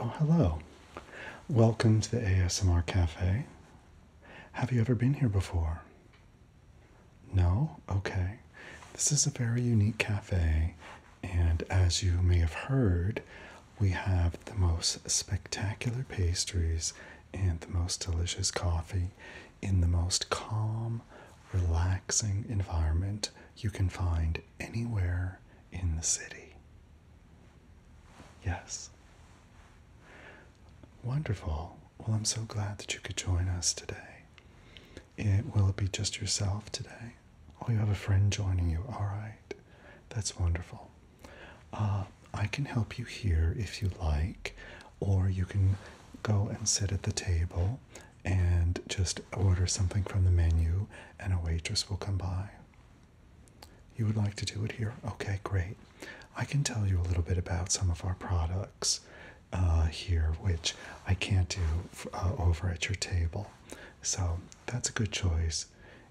Oh, hello. Welcome to the ASMR Cafe. Have you ever been here before? No? Okay. This is a very unique cafe, and as you may have heard, we have the most spectacular pastries and the most delicious coffee in the most calm, relaxing environment you can find anywhere in the city. Yes. Wonderful. Well, I'm so glad that you could join us today will it be just yourself today? Oh, you have a friend joining you. All right, that's wonderful. Uh, I can help you here if you like, or you can go and sit at the table and just order something from the menu, and a waitress will come by. You would like to do it here? Okay, great. I can tell you a little bit about some of our products uh, here, which I can't do uh, over at your table. So that's a good choice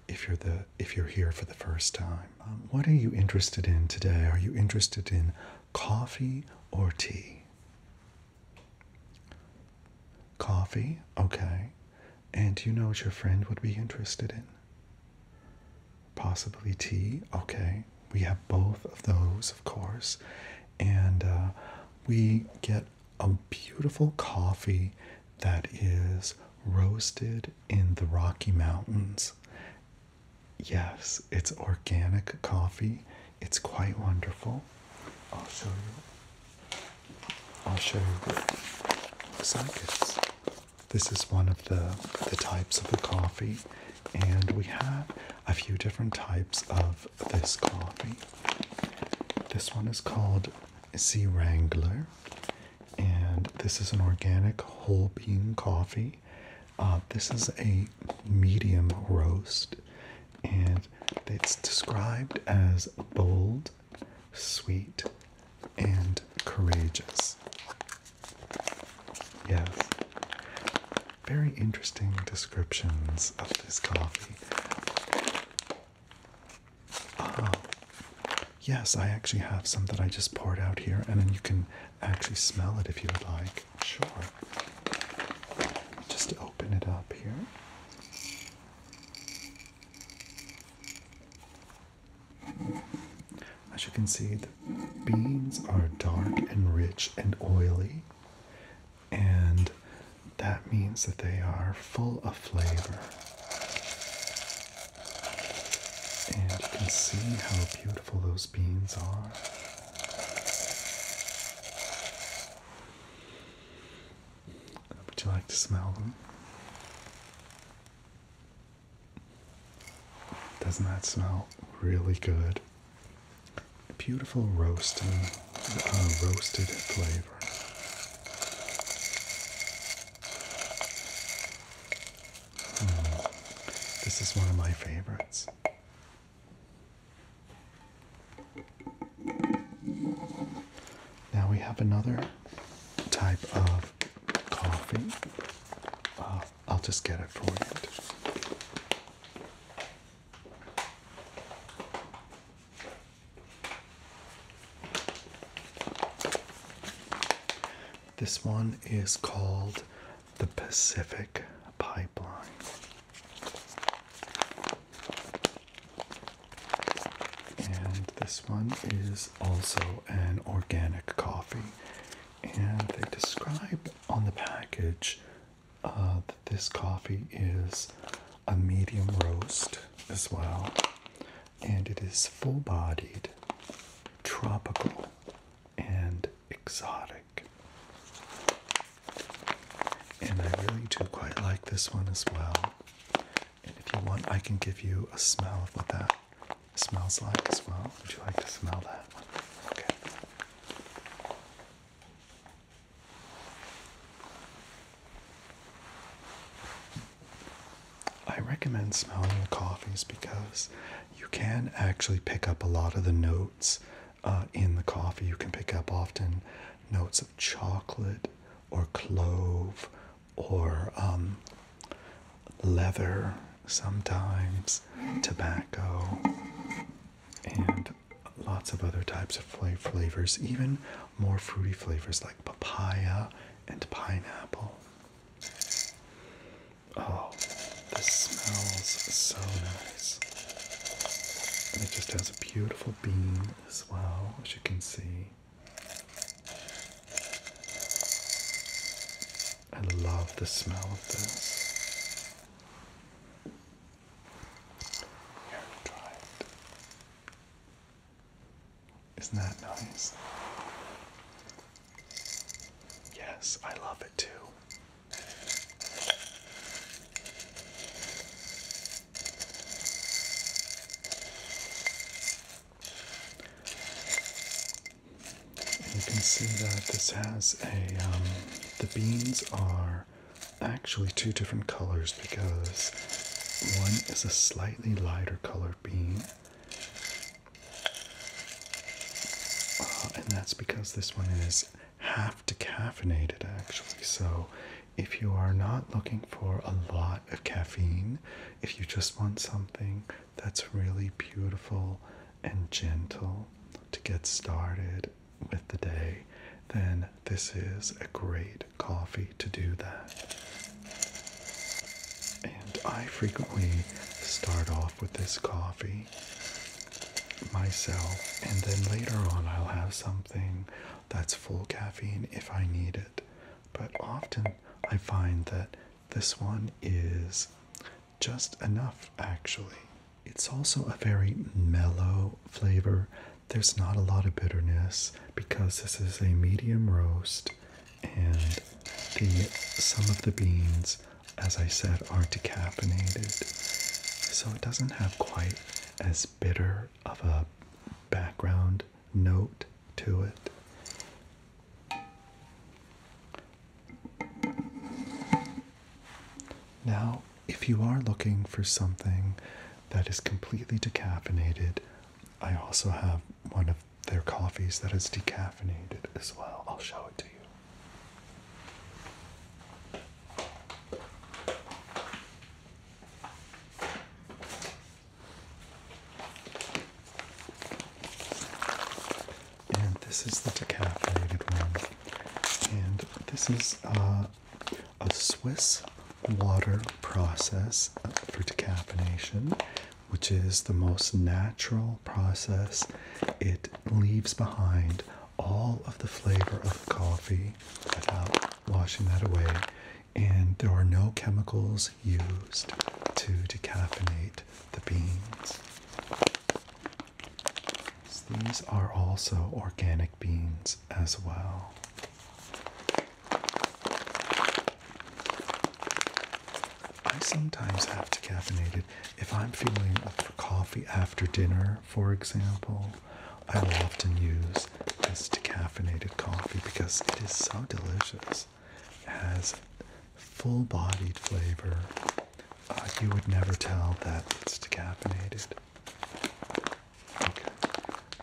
if you're the if you're here for the first time. Um, what are you interested in today? Are you interested in coffee or tea? Coffee, okay. And do you know what your friend would be interested in? Possibly tea, okay. We have both of those, of course and uh, we get a beautiful coffee that is roasted in the Rocky Mountains. Yes, it's organic coffee. It's quite wonderful. I'll show you. I'll show you what looks like it's. This is one of the the types of the coffee, and we have a few different types of this coffee. This one is called Sea Wrangler, and this is an organic whole bean coffee. Uh, this is a medium roast, and it's described as bold, sweet, and courageous. Yes, very interesting descriptions of this coffee. Ah, yes, I actually have some that I just poured out here, and then you can actually smell it if you would like. Sure. Just open it up here. As you can see, the beans are dark and rich and oily, and that means that they are full of flavor. And you can see how beautiful those beans are. Would you like to smell them? Doesn't that smell really good? beautiful roasting, uh, roasted flavor. Hmm. This is one of my favorites. Now we have another type of coffee. Uh, I'll just get it for you. This one is called the Pacific Pipeline. And this one is also an organic coffee. And they describe on the package uh, this coffee is a medium roast as well, and it is full bodied, tropical, and exotic. And I really do quite like this one as well. And if you want, I can give you a smell of what that smells like as well. Would you like to smell that? Okay. I recommend smelling the coffees because you can actually pick up a lot of the notes uh, in the coffee. You can pick up often notes of chocolate or clove or um, leather, sometimes tobacco and lots of other types of flavors, even more fruity flavors like papaya and pineapple. Oh, this smells so nice. And it just has a beautiful bean as well, as you can see. I love the smell of this is Isn't that nice? Yes, I love it too. you can see that this has a um, the beans are actually two different colors because one is a slightly lighter colored bean. Uh, and that's because this one is half decaffeinated actually. So if you are not looking for a lot of caffeine, if you just want something that's really beautiful and gentle to get started with the day, then this is a great coffee to do that. And I frequently start off with this coffee myself, and then later on, I'll have something that's full caffeine if I need it. But often, I find that this one is just enough actually. It's also a very mellow flavor. There's not a lot of bitterness because this is a medium roast and the some of the beans, as I said, are decaffeinated. So it doesn't have quite as bitter of a background note to it. Now, if you are looking for something that is completely decaffeinated, I also have one of their coffees that is decaffeinated as well. I'll show it to you. And this is the decaffeinated one. And this is uh, a Swiss water process for decaffeination, which is the most natural process. It leaves behind all of the flavor of coffee without washing that away, and there are no chemicals used to decaffeinate the beans these are also organic beans as well. I sometimes have decaffeinated. If I'm feeling up for coffee after dinner, for example, I will often use this decaffeinated coffee because it is so delicious. It has full bodied flavor. Uh, you would never tell that it's decaffeinated. Okay.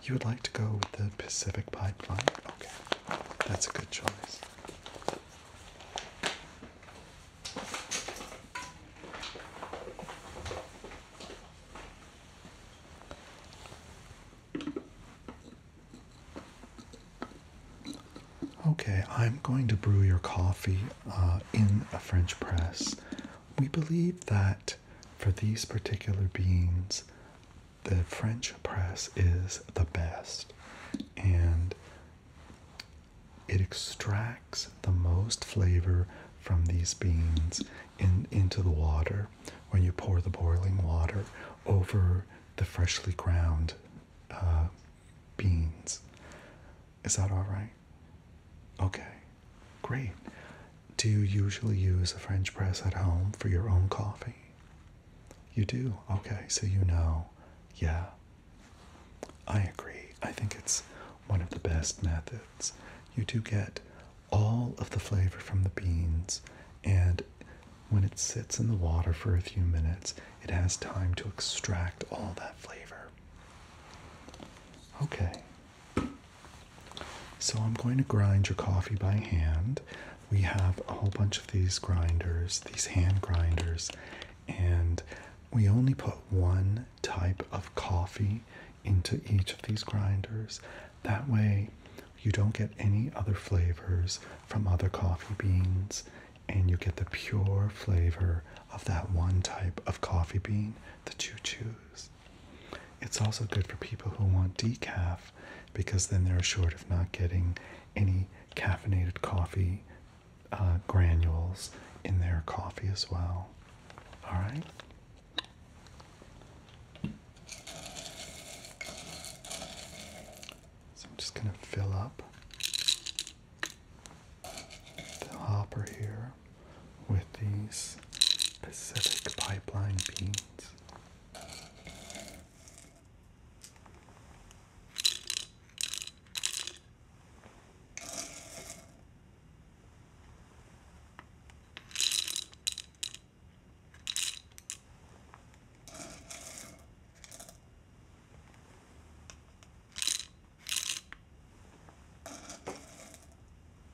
You would like to go with the Pacific Pipeline? Okay. That's a good choice. Okay, I'm going to brew your coffee uh, in a French press. We believe that for these particular beans, the French press is the best and it extracts the most flavor from these beans in, into the water when you pour the boiling water over the freshly ground uh, beans. Is that all right? Okay, great. Do you usually use a French press at home for your own coffee? You do? Okay, so you know. Yeah, I agree. I think it's one of the best methods. You do get all of the flavor from the beans, and when it sits in the water for a few minutes, it has time to extract all that flavor. Okay, so I'm going to grind your coffee by hand. We have a whole bunch of these grinders, these hand grinders, and we only put one type of coffee into each of these grinders. That way, you don't get any other flavors from other coffee beans, and you get the pure flavor of that one type of coffee bean that you choose. It's also good for people who want decaf because then they're assured of not getting any caffeinated coffee uh, granules in their coffee as well. All right. So I'm just going to fill up the hopper here with these Pacific pipeline beans.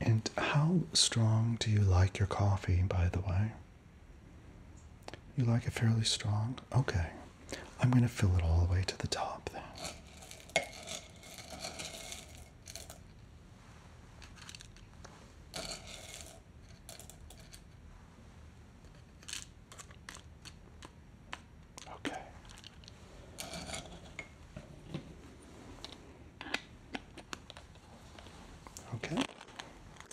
And how strong do you like your coffee, by the way? You like it fairly strong? Okay. I'm going to fill it all the way to the top then. Okay. Okay.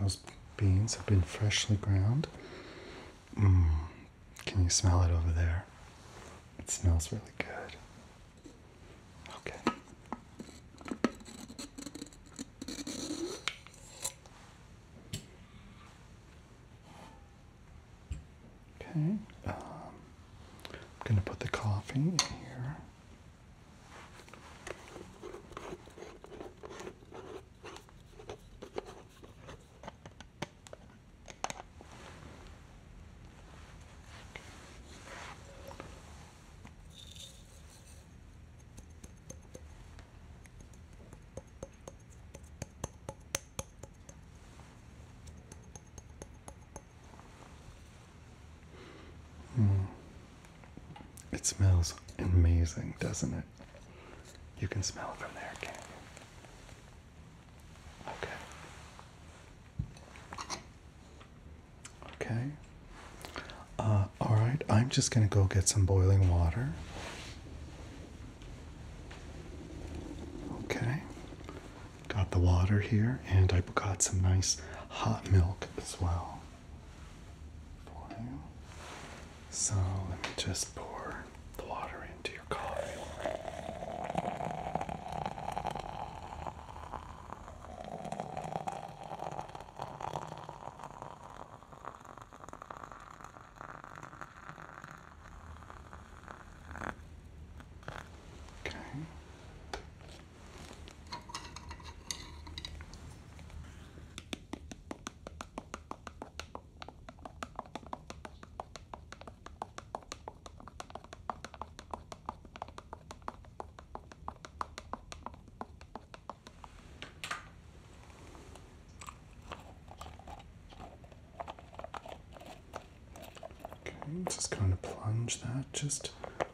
Those beans have been freshly ground. Mm. Can you smell it over there? It smells really good. Okay. Okay, um, I'm going to put the coffee in here. Hmm. It smells amazing, doesn't it? You can smell it from there, can not you? Okay. Okay. Uh, all right, I'm just going to go get some boiling water. Okay. Got the water here, and I got some nice hot milk as well So let me just pour the water into your coffee. Okay. Okay, just kind of plunge that just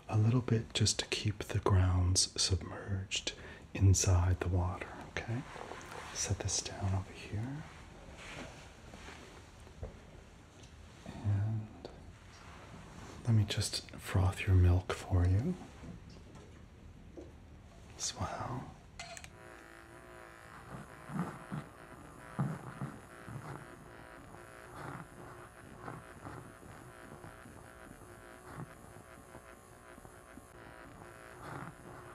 a little bit just to keep the grounds submerged inside the water. Okay, set this down over here let me just froth your milk for you as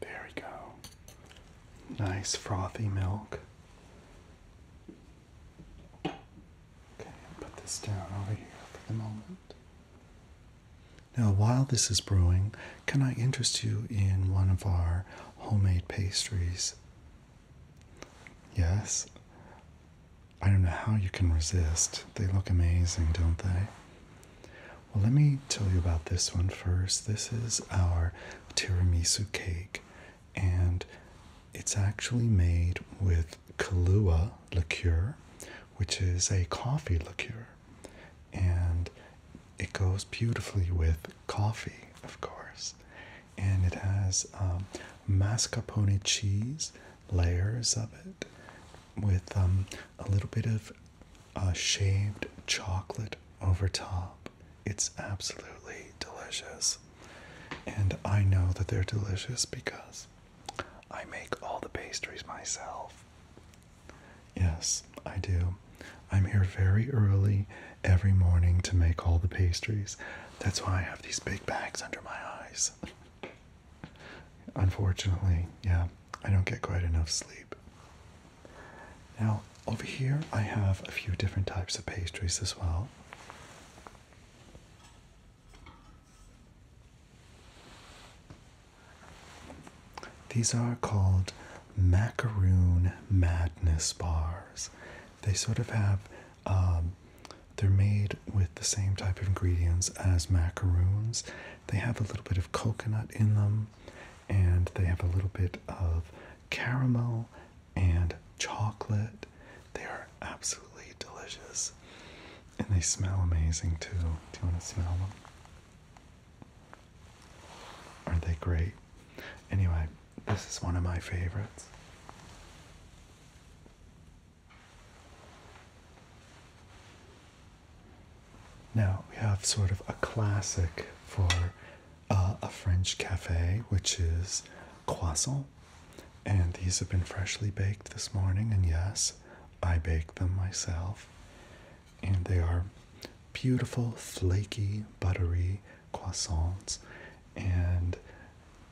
There we go. Nice frothy milk. Okay, put this down over here for the moment. Now, while this is brewing, can I interest you in one of our homemade pastries? Yes. I don't know how you can resist. They look amazing, don't they? Well, let me tell you about this one first. This is our tiramisu cake, and it's actually made with Kahlua liqueur, which is a coffee liqueur, and it goes beautifully with coffee, of course. And it has um, mascarpone cheese layers of it with um, a little bit of a shaved chocolate over top. It's absolutely delicious. And I know that they're delicious because I make all the pastries myself. Yes, I do. I'm here very early every morning to make all the pastries. That's why I have these big bags under my eyes. Unfortunately, yeah. I don't get quite enough sleep. Now, over here, I have a few different types of pastries as well. These are called macaroon madness bars. They sort of have, um, they're made with the same type of ingredients as macaroons, they have a little bit of coconut in them and they have a little bit of caramel and chocolate. They are absolutely delicious and they smell amazing too. Do you want to smell them? Aren't they great? Anyway, this is one of my favorites. Now we have sort of a classic for uh, a French cafe, which is croissant. And these have been freshly baked this morning, and yes, I bake them myself. And they are beautiful, flaky, buttery croissants. And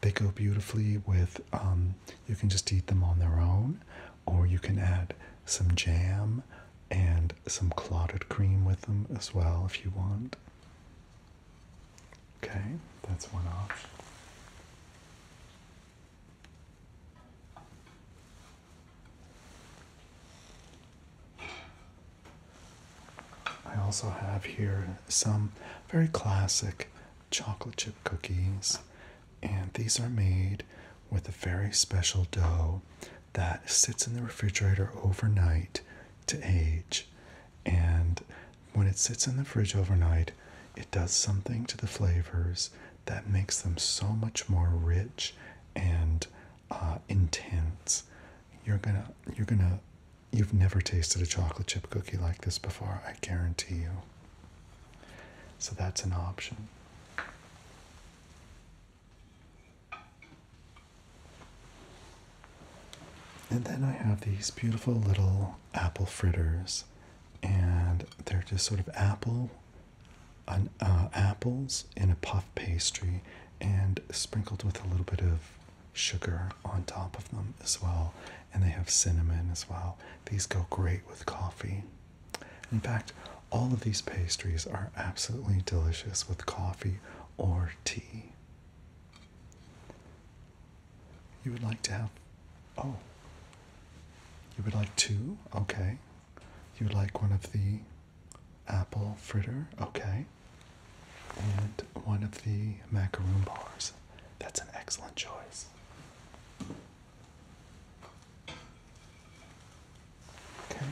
they go beautifully with, um, you can just eat them on their own, or you can add some jam and some clotted cream with them as well if you want. Okay, that's one option. I also have here some very classic chocolate chip cookies and these are made with a very special dough that sits in the refrigerator overnight to age. And when it sits in the fridge overnight, it does something to the flavors that makes them so much more rich and uh, intense. You're gonna, you're gonna, you've never tasted a chocolate chip cookie like this before, I guarantee you. So that's an option. And then I have these beautiful little apple fritters, and they're just sort of apple, an, uh, apples in a puff pastry, and sprinkled with a little bit of sugar on top of them as well. And they have cinnamon as well. These go great with coffee. In fact, all of these pastries are absolutely delicious with coffee or tea. You would like to have. Oh. You would like two? Okay. You would like one of the apple fritter? Okay. And one of the macaroon bars. That's an excellent choice. Okay.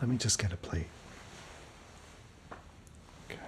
Let me just get a plate. Okay.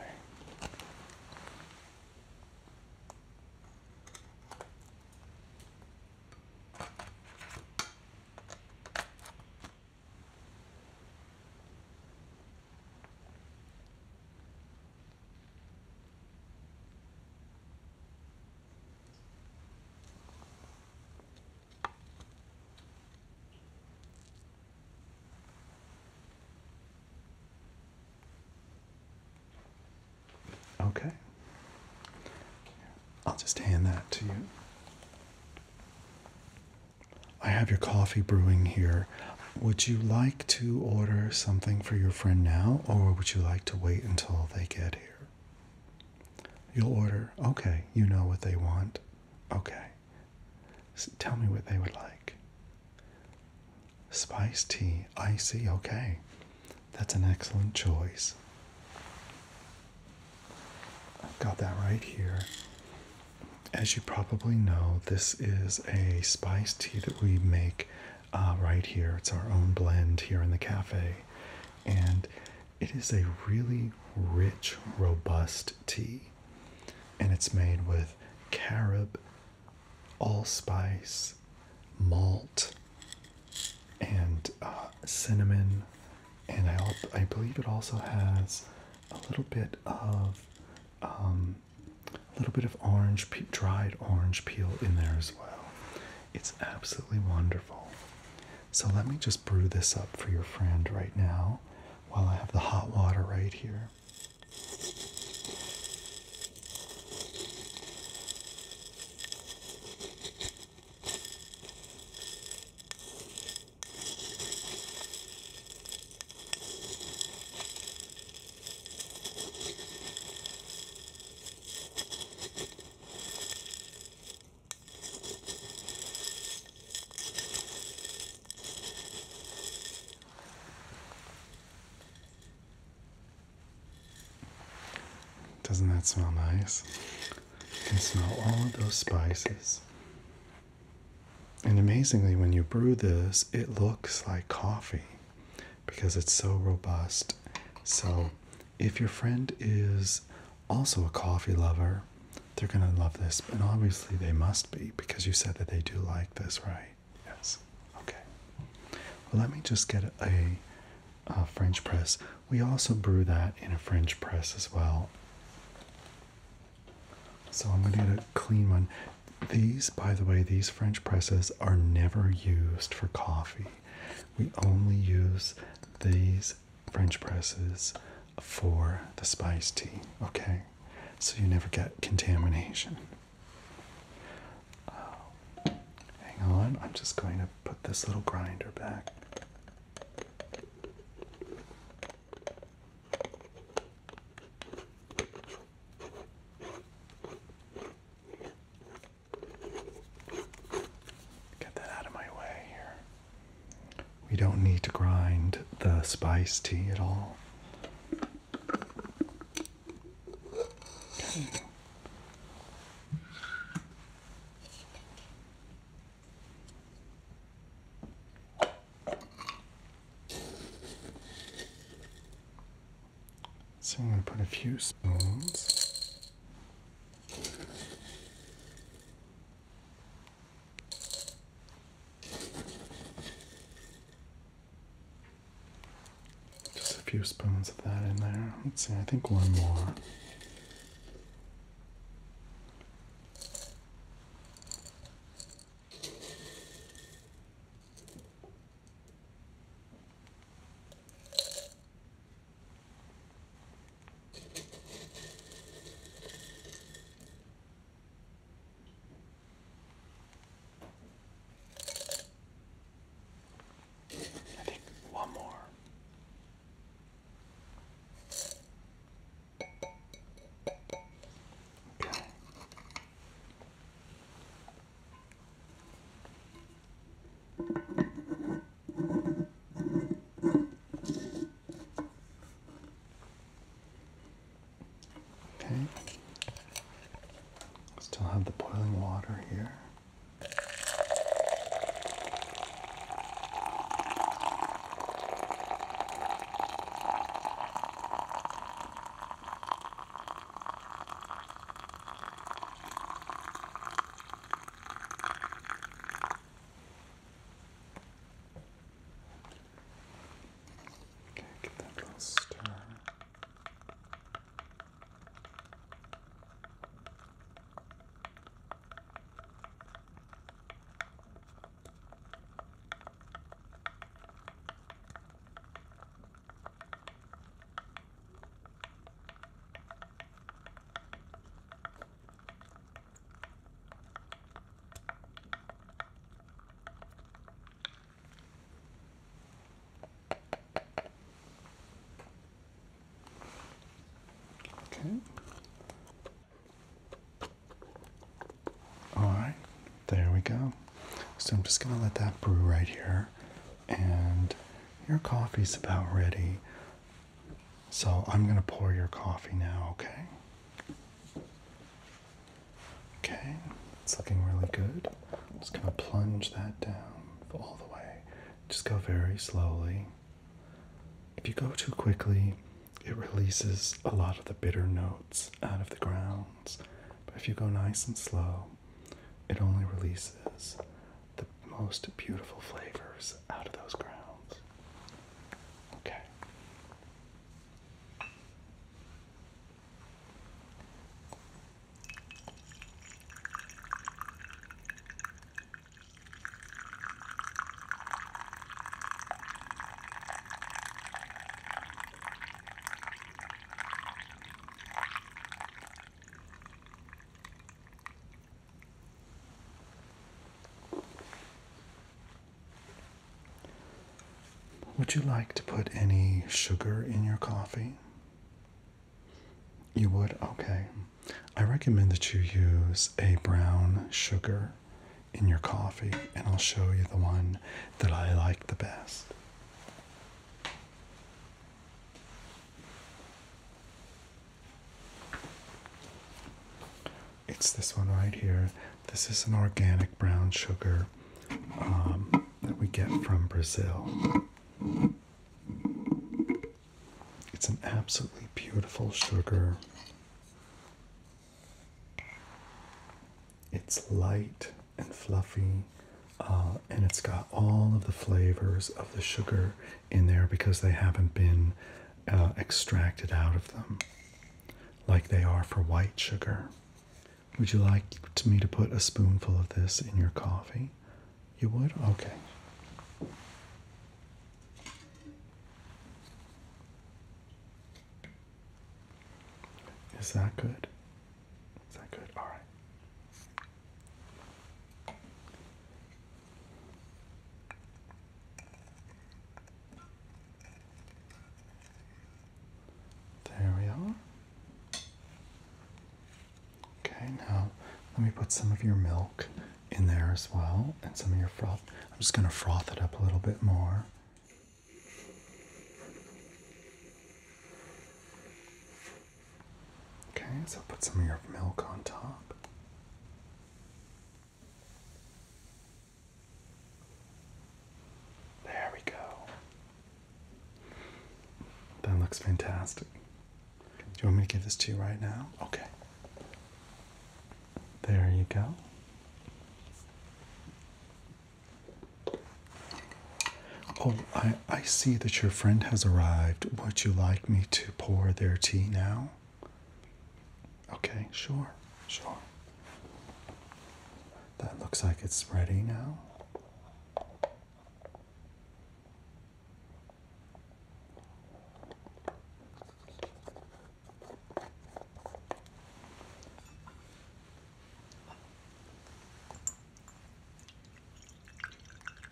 Okay. I'll just hand that to you. I have your coffee brewing here. Would you like to order something for your friend now, or would you like to wait until they get here? You'll order. Okay, you know what they want. Okay. tell me what they would like. Spice tea, icy, okay. That's an excellent choice. got that right here. As you probably know, this is a spice tea that we make uh, right here. It's our own blend here in the cafe. And it is a really rich, robust tea, and it's made with carob, allspice, malt, and uh, cinnamon. And I, I believe it also has a little bit of a um, little bit of orange, dried orange peel in there as well. It's absolutely wonderful. So let me just brew this up for your friend right now while I have the hot water right here. Doesn't that smell nice? You can smell all of those spices. And amazingly, when you brew this, it looks like coffee because it's so robust, so if your friend is also a coffee lover, they're going to love this. And obviously, they must be because you said that they do like this, right? Yes. Okay. Well, let me just get a, French press. We also brew that in a French press as well. So I'm going to get a clean one. These, by the way, these French presses are never used for coffee. We only use these French presses for the spice tea, okay? So you never get contamination. Oh, hang on, I'm just going to put this little grinder back. Get that out of my way here. We don't need to grind the spice tea at all. So I'm going to put a few spoons just a few spoons of that in there. Let's see, I think one more. I think one more. Okay. Okay. Still have the boiling water here. Okay, get that little star. Okay. All right, there we go. So I'm just going to let that brew right here, and your coffee's about ready. So I'm going to pour your coffee now, okay? Okay, it's looking really good. just going to plunge that down all the way. Just go very slowly. If you go too quickly, it releases a lot of the bitter notes out of the grounds. But if you go nice and slow, it only releases the most beautiful flavors out of those grounds. Okay. Would you like to put any sugar in your coffee? You would? Okay. I recommend that you use a brown sugar in your coffee, and I'll show you the one that I like the best. It's this one right here. This is an organic brown sugar um, that we get from Brazil. It's an absolutely beautiful sugar. It's light and fluffy, uh, and it's got all of the flavors of the sugar in there because they haven't been uh, extracted out of them like they are for white sugar. Would you like me to put a spoonful of this in your coffee? You would? Okay. Is that good? Is that good? All right. There we are. Okay, now let me put some of your milk in there as well and some of your froth. I'm just going to froth it up a little bit more. Okay, so put some of your milk on top. There we go. That looks fantastic. Do you want me to give this to you right now? Okay. There you go. Oh, I, I see that your friend has arrived. Would you like me to pour their tea now? Okay, sure, sure. That looks like it's ready now.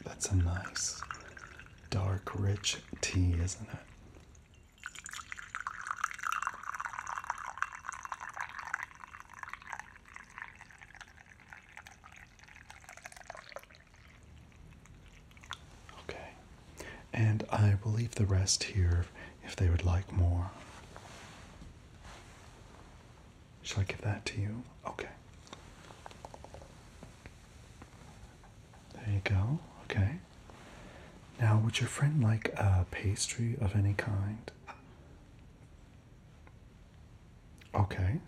That's a nice dark, rich tea, isn't it? Okay, and I will leave the rest here if they would like more. Shall I give that to you? Okay. There you go. Okay. Now, would your friend like a pastry of any kind? Okay.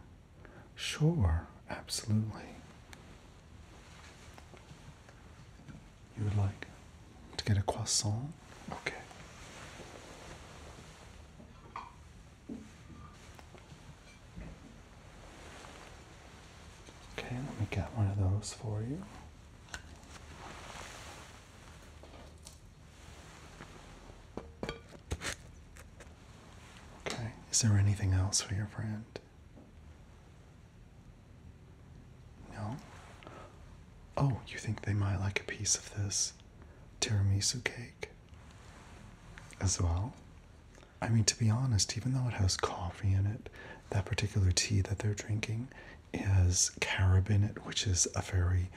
Sure. Absolutely. You would like to get a croissant? Okay. Okay, let me get one of those for you. Okay, is there anything else for your friend? No? Oh, you think they might like a piece of this tiramisu cake as well? I mean, to be honest, even though it has coffee in it, that particular tea that they're drinking is carob in it, which is a very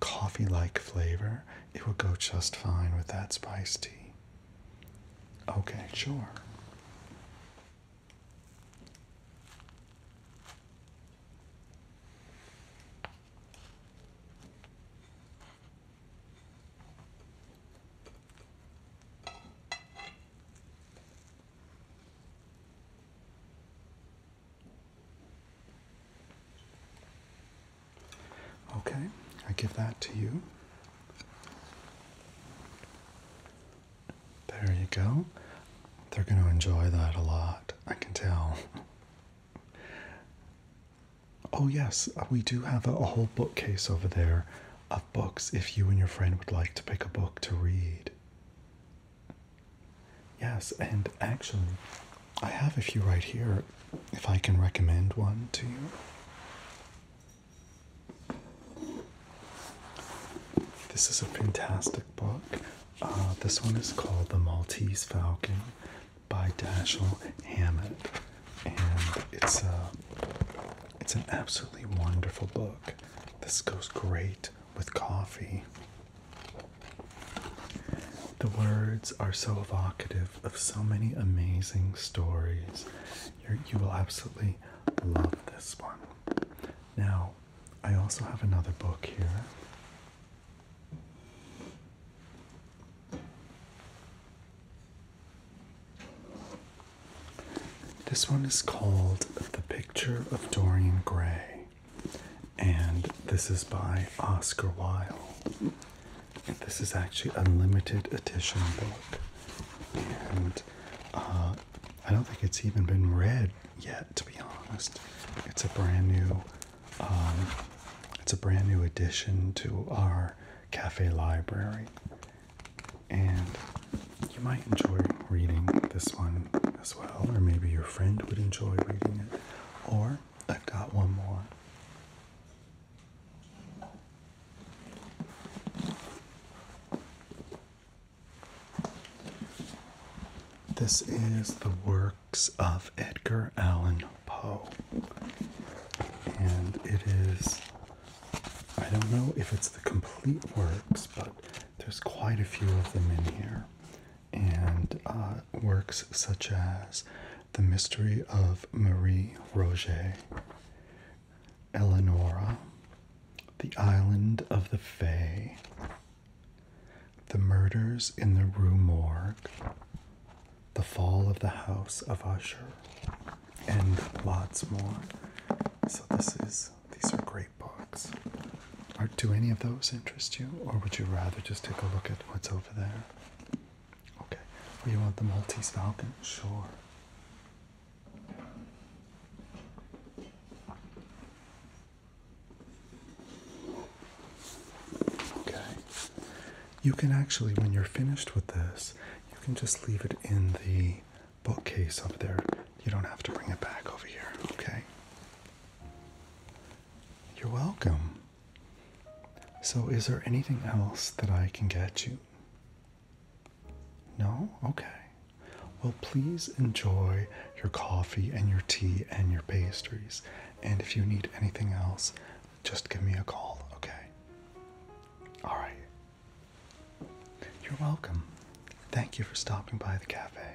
coffee like flavor. It would go just fine with that spice tea. Okay, sure. Okay, I give that to you. There you go. They're going to enjoy that a lot, I can tell. Oh, yes, uh, we do have a, whole bookcase over there of books if you and your friend would like to pick a book to read. Yes, and actually, I have a few right here if I can recommend one to you. This is a fantastic book. Uh, this one is called The Maltese Falcon by Dashiell Hammett, and it's a uh, it's an absolutely wonderful book. This goes great with coffee. The words are so evocative of so many amazing stories. you you will absolutely love this one. Now, I also have another book here. This one is called The Picture of Dorian Gray, and this is by Oscar Wilde. this is actually a limited edition book, and uh, I don't think it's even been read yet, to be honest. It's a brand new. Um, it's a brand new addition to our cafe library, and you might enjoy reading this one as well, or maybe your friend would enjoy reading it. Or I've got one more. This is the works of Edgar Allan Poe, and it is I don't know if it's the complete works, but there's quite a few of them in here. And uh, works such as The Mystery of Marie Roget, Eleonora, The Island of the Fay, The Murders in the Rue Morgue, The Fall of the House of Usher and lots more. So this is these are great books. do any of those interest you, or would you rather just take a look at what's over there? Okay. Or you want the Maltese Falcon? Sure. Okay. You can actually, when you're finished with this, you can just leave it in the bookcase up there. You don't have to bring it back over here, okay? You're welcome. So, is there anything else that I can get you? No? Okay. Well, please enjoy your coffee and your tea and your pastries. And if you need anything else, just give me a call, okay? All right. You're welcome. Thank you for stopping by the cafe.